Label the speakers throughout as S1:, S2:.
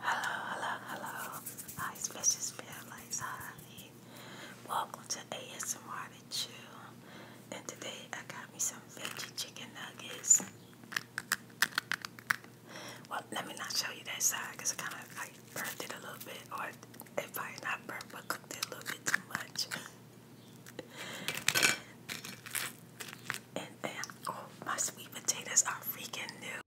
S1: Hello, hello, hello. Hi, Vicious Families. Hi. Welcome to ASMR to Chew. And today I got me some veggie chicken nuggets. Well, let me not show you that side because I kind of burnt it a little bit. Or if I not burnt, but cooked it a little bit too much. and, oh, my sweet potatoes are freaking new.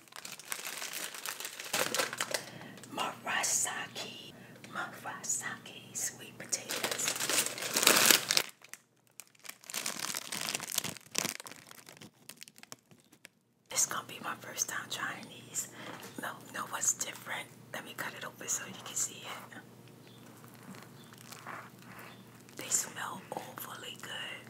S1: Murasaki, Murasaki sweet potatoes. It's gonna be my first time trying these. No, no, what's different? Let me cut it open so you can see it. They smell overly good.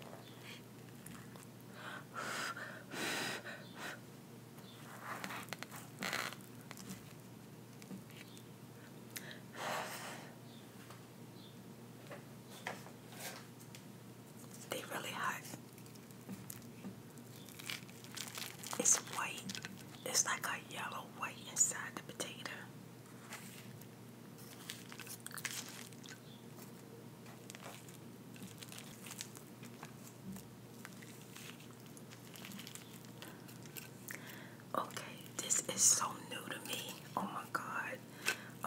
S1: They really hot. It's white. It's like a yellow white inside the potato. Okay, this is so new to me. Oh my god.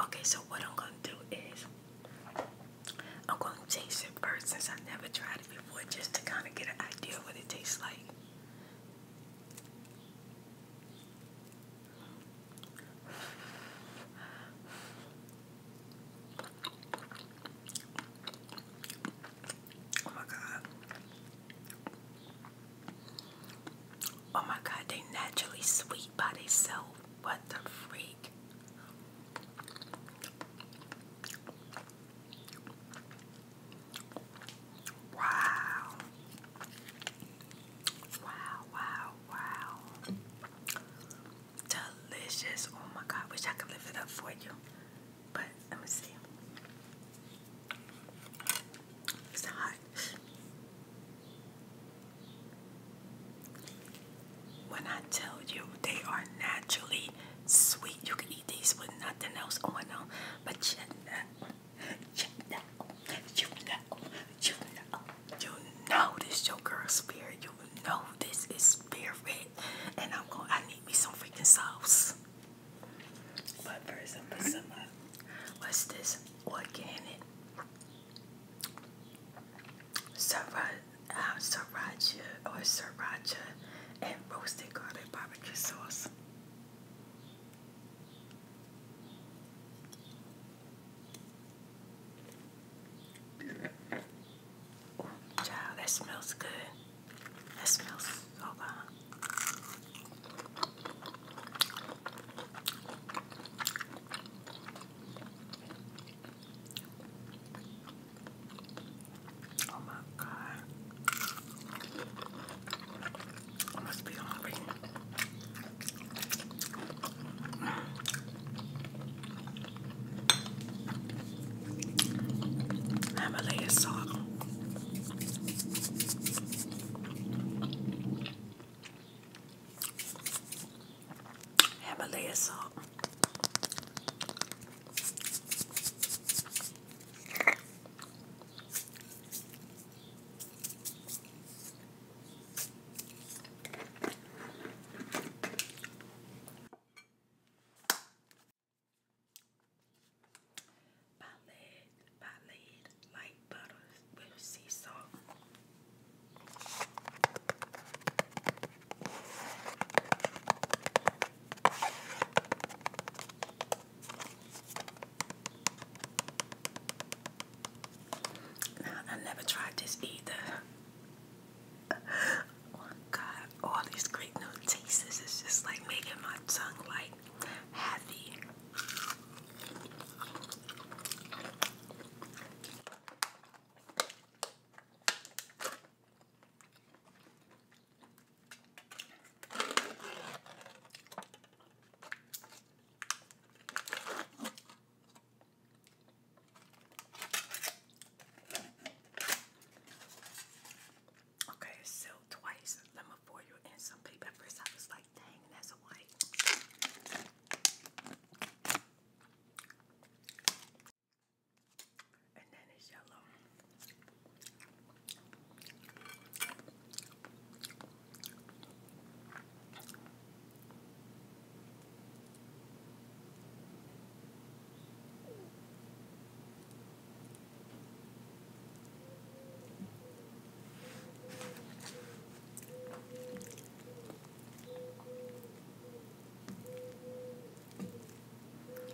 S1: Okay, so what I'm gonna do is I'm gonna taste it first since I never tried it before just to kind of get an idea what it tastes like. Oh my god. Oh my god, they naturally sweet by themselves. What the freak? Wow. Wow, wow, wow. Delicious. Oh my god, wish I could live it up for you. But let me see. It's hot. When I tell you they are naturally sweet, you can eat these with nothing else going oh, on. But check that. Check that. You know you know, you know this your girl spirit. You know this is spirit. And I'm going, I need me some freaking sauce. But first, I'm put some, uh, what's this? Organic. Sriracha, uh, sriracha or sriracha and roasted garlic barbecue sauce. Child, that smells good. That smells so good. Oh my god. must be hungry. I'm a layer salt. Himalaya salt. I laid, I laid light butter with sea salt. I I never tried this either. Oh God, all these great new tastes is just like making my tongue like heavy. Okay, so twice lemon for you and some baby peppers. I was like, dang, that's white. And then it's yellow.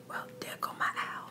S1: Well, there go my owl.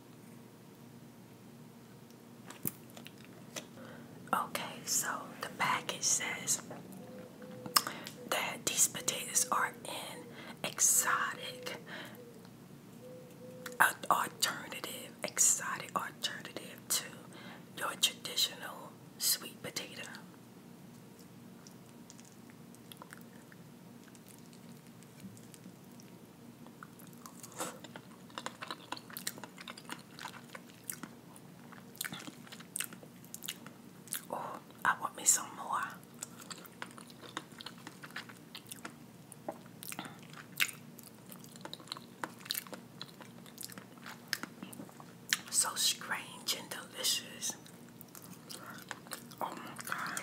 S1: Okay, so the package says that these potatoes are an exotic uh, alternative, exotic alternative to your traditional sweet potato. I want me some more. So strange and delicious. Oh my god.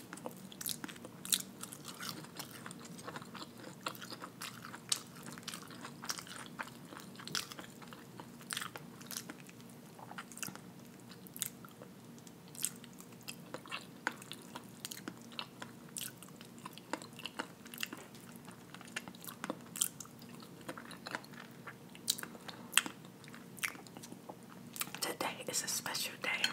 S1: Today is a special day.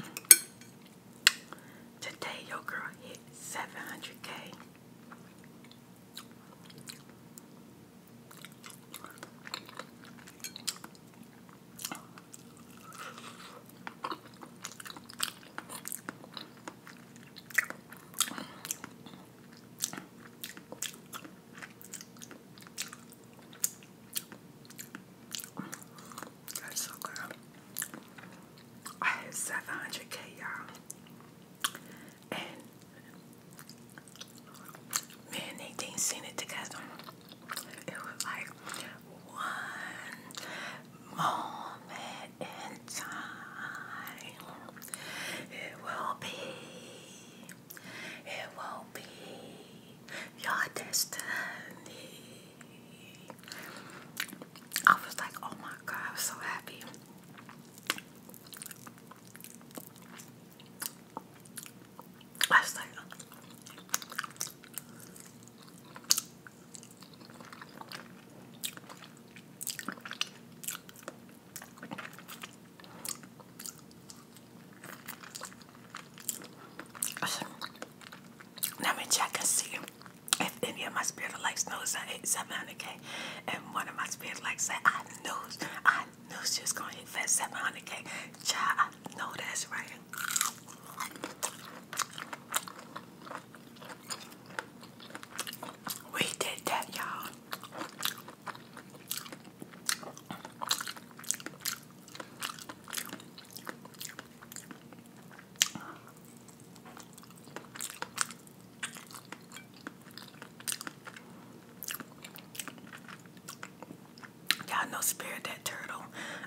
S1: Today, your girl hit 700k. That's so good. I had 700k, y'all. And me and Nadine seen it together. It was like one moment in time. It will be. It will be your destiny. I was like, oh my god, I was so happy. I was like, Let me check and see if any of my spiritual likes knows I hit 700k, and one of my spiritual likes said, I knew, I knew she was gonna hit that 700k. Child, I know that's right. We did that, y'all. Y'all know Spirit that turtle.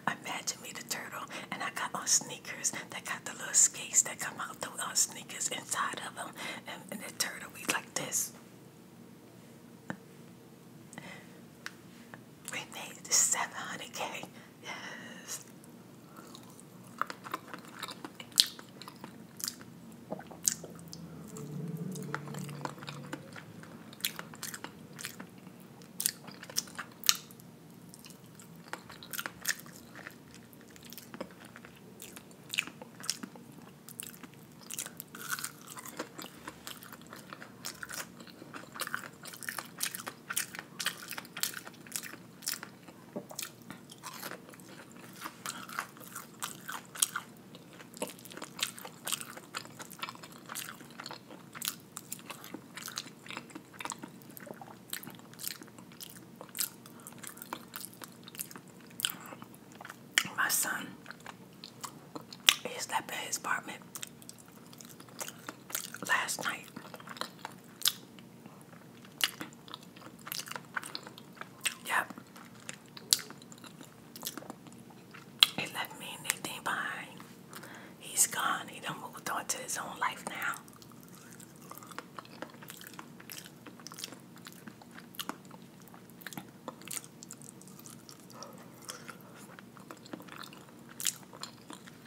S1: I'm Imagine me the turtle, and I got on sneakers that got the little skates that come out the uh, sneakers inside of them, and, and the turtle we like this. We made it 700k. Yes. My son is left at his apartment last night. Yep. He left me and everything behind. He's gone. He done moved on to his own life now.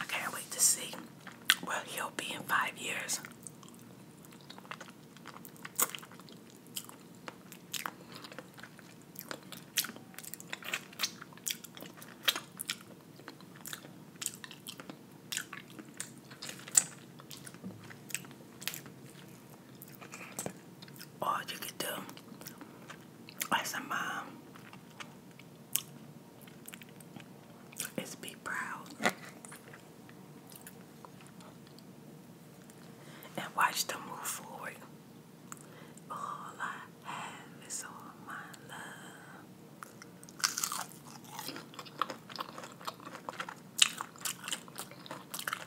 S1: I can't wait to see where he'll be in five years. All oh, you can do some mom is be proud and watch them move forward. All I have is all my love.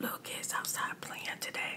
S1: Little kids outside playing today.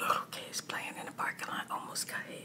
S1: Little kids playing in the park and I almost got hit.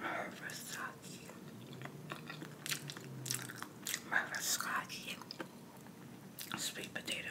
S1: Murasaki. Murasaki. Sweet potato.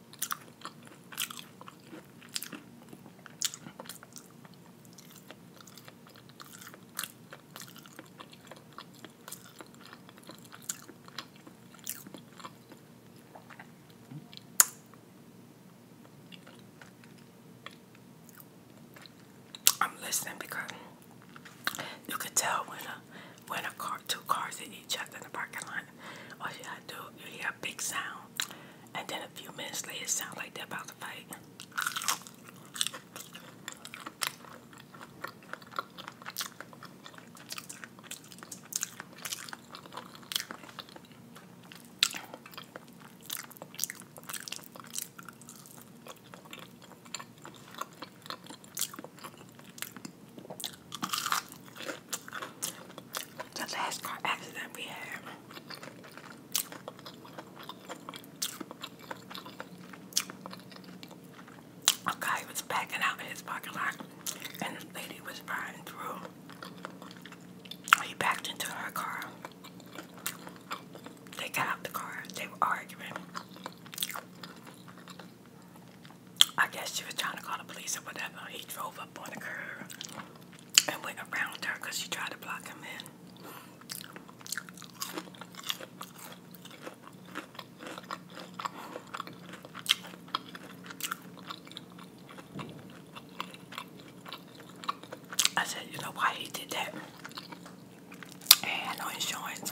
S1: I'm listening because you could tell when a uh, when a car, two cars hit each other in the parking lot, all you gotta do, you hear a big sound, and then a few minutes later, it sounds like they're about to fight. The last car accident we had. A guy was backing out of his parking lot and the lady was riding through. He backed into her car. They got out the car. They were arguing. I guess she was trying to call the police or whatever. He drove up on the curb and went around her because she tried to block him in. I said, you know why he did that? And no insurance.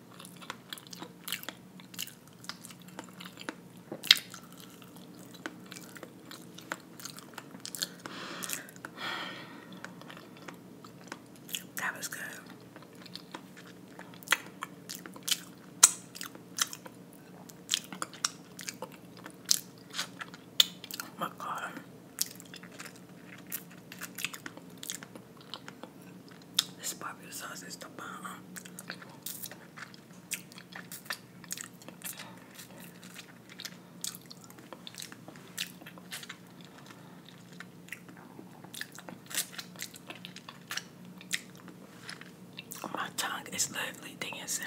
S1: that was good. Oh my God. This barbecue sauce is the bomb. My tongue is literally dancing.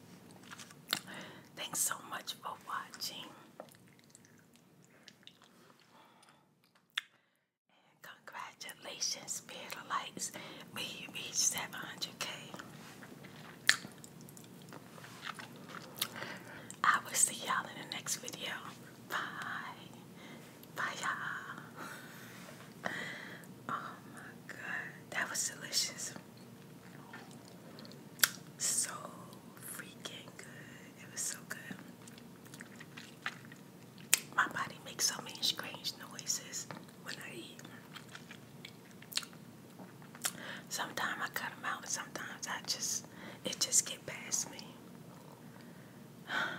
S1: Thanks so much for watching. congratulations, Spirit Lights. May you 700K. I will see y'all in the next video. Bye. Bye, y'all. Oh my god, that was delicious. So freaking good. It was so good. My body makes so many strange noises when I eat. Sometimes I cut them out, sometimes I just, it just get past me. Bye.